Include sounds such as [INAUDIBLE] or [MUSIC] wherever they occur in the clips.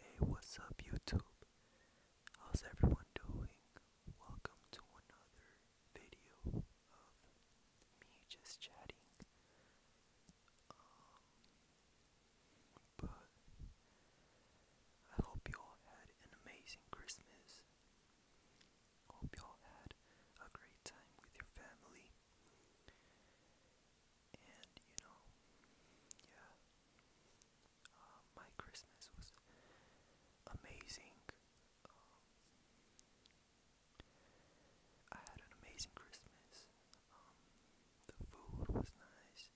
Hey, what's up, YouTube? How's everyone doing? Welcome to another video of me just chatting. Um, but I hope you all had an amazing Christmas. Hope you all had a great time with your family and you know, yeah, uh, my Christmas was amazing. Um, I had an amazing Christmas. Um, the food was nice.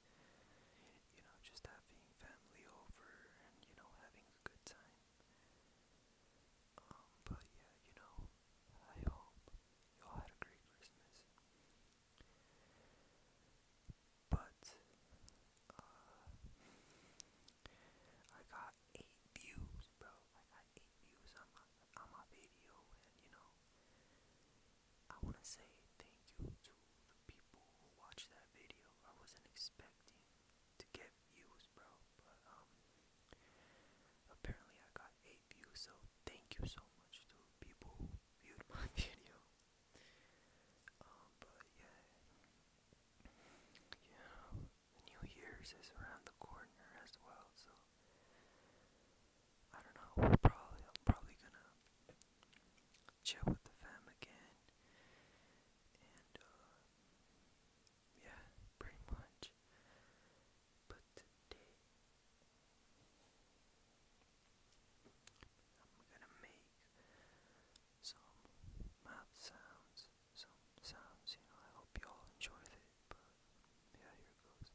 You know, just having family over and you know having a good time. Um, but yeah, you know, I hope you all had a great Christmas. But uh, I got eight views, bro. I eight views on my on my video, and you know, I wanna say thank you to the people who watched that video. I wasn't expecting to get views, bro, but um, Apparently, I got 8 views, so thank you so much to people who viewed my [LAUGHS] video. Um, but yeah, you New Year's is around the corner as well, so I don't know. We're probably, probably gonna chill with the fam again, and uh, yeah, pretty much. But today, I'm gonna make some mouth sounds, some sounds, you know, I hope you all enjoyed it, but yeah, here it goes.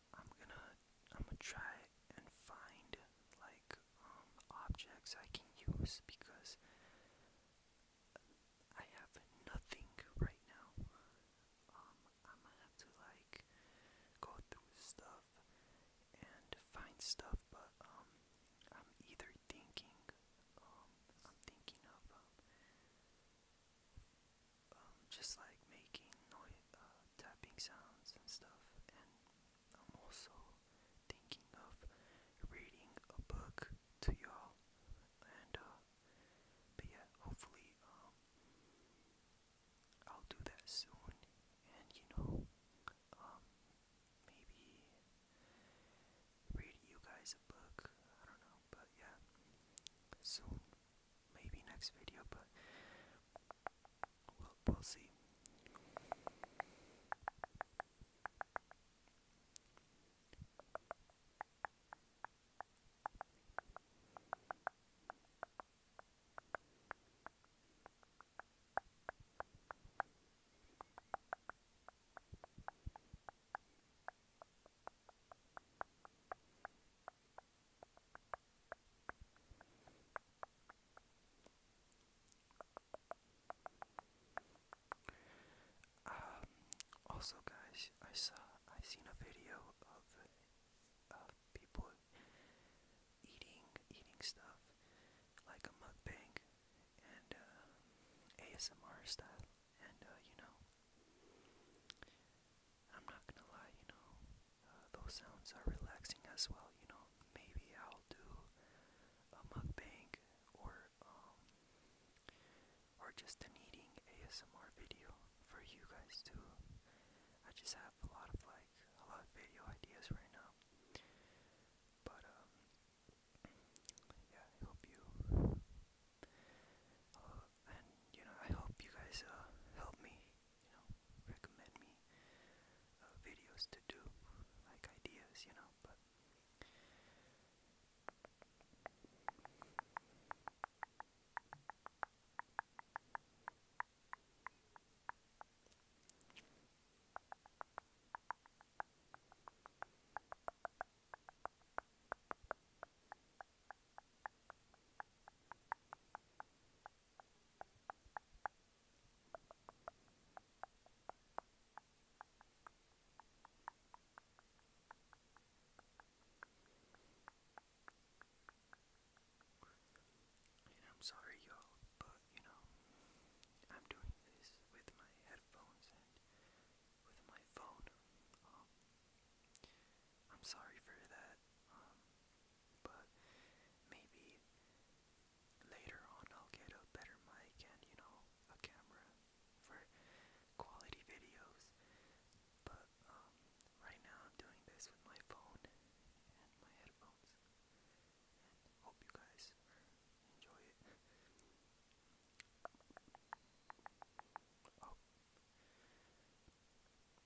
I'm gonna I'm gonna try and find like um, objects I can use because I have nothing right now. Um I'm gonna have to like go through stuff and find stuff but um I'm either thinking um I'm thinking of um, um, just like making noise, uh, tapping sounds and stuff. And I'm also thinking of reading a book to y'all. And uh, but yeah, hopefully um, I'll do that soon. And you know, um, maybe read you guys a book. I don't know, but yeah, soon maybe next video, but we'll, we'll see. Um, also, guys, I saw I seen a video of of people eating eating stuff like a mukbang and uh, ASMR stuff, and uh, you know, I'm not gonna lie, you know, uh, those sounds are relaxing as well, you know. Maybe I'll do a mukbang or um, or just an eating ASMR video for you guys too. I just have a lot of like a lot of video ideas right now. But um, yeah, I hope you and you know I hope you guys uh, help me, you know, recommend me uh, videos to do, like ideas, you know. But and I'm sorry, you but you know, I'm doing this with my headphones and with my phone. Um, I'm sorry for that, um, but maybe later on I'll get a better mic and, you know, a camera for quality videos. But um, right now I'm doing this with my phone and my headphones. hope you guys enjoy it. Oh.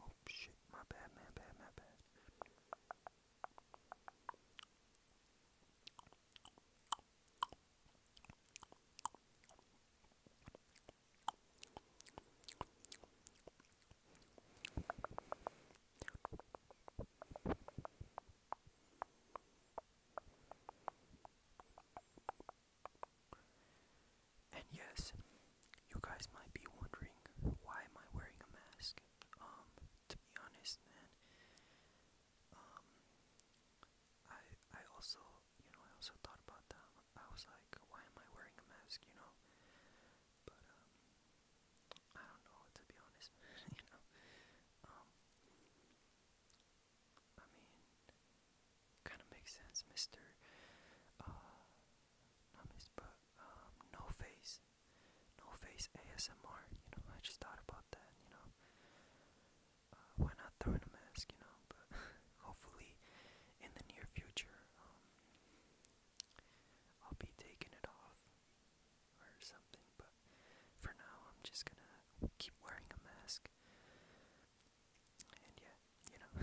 Oh shit, my bad, my bad, my bad. And yes, you guys might be wondering why am I wearing a mask? Um, to be honest, man, um, I I also you know I also thought about that. I was like, why am I wearing a mask? You know, but um, I don't know to be honest, [LAUGHS] you know, um, I mean, kind of makes sense. Mr. Uh, not Mr. But um, No Face, No Face ASMR. You know, I just thought about that. You know, uh, why not throw in a mask? You know, but [LAUGHS] hopefully in the near future, um, I'll be taking it off or something, but for now I'm just gonna keep wearing a mask. And yeah, you know.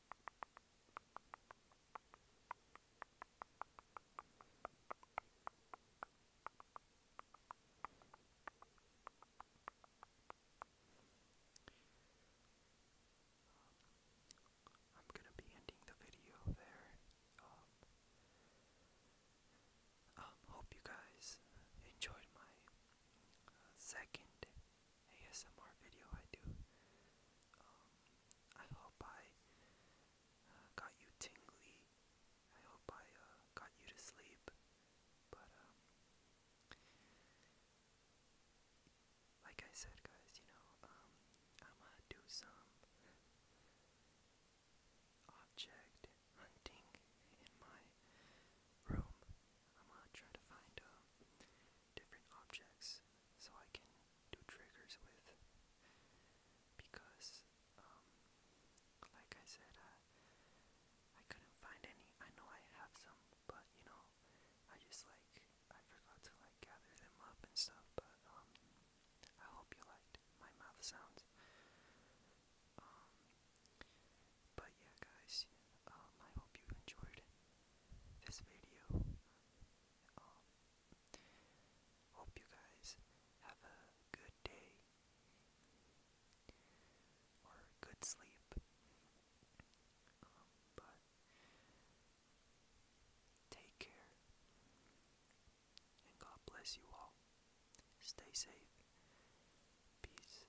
I'm going to be ending the video there. Um, um, hope you guys enjoyed my uh, second ASMR video I do. Um, I hope I uh, got you tingly. I hope I uh, got you to sleep. But, um, like I said, guys, you know, um, I'm gonna do some object hunting in my room. I'm gonna try to find um, different objects so I can do triggers with because um like I said I couldn't find any. I know I have some but you know I just like I forgot to like gather them up and stuff but um I hope you liked my mouth sounds. Um but yeah guys um, I hope you enjoyed this video. Um, hope you guys have a good day or good sleep. Um, take care and God bless you all. Stay safe. Peace.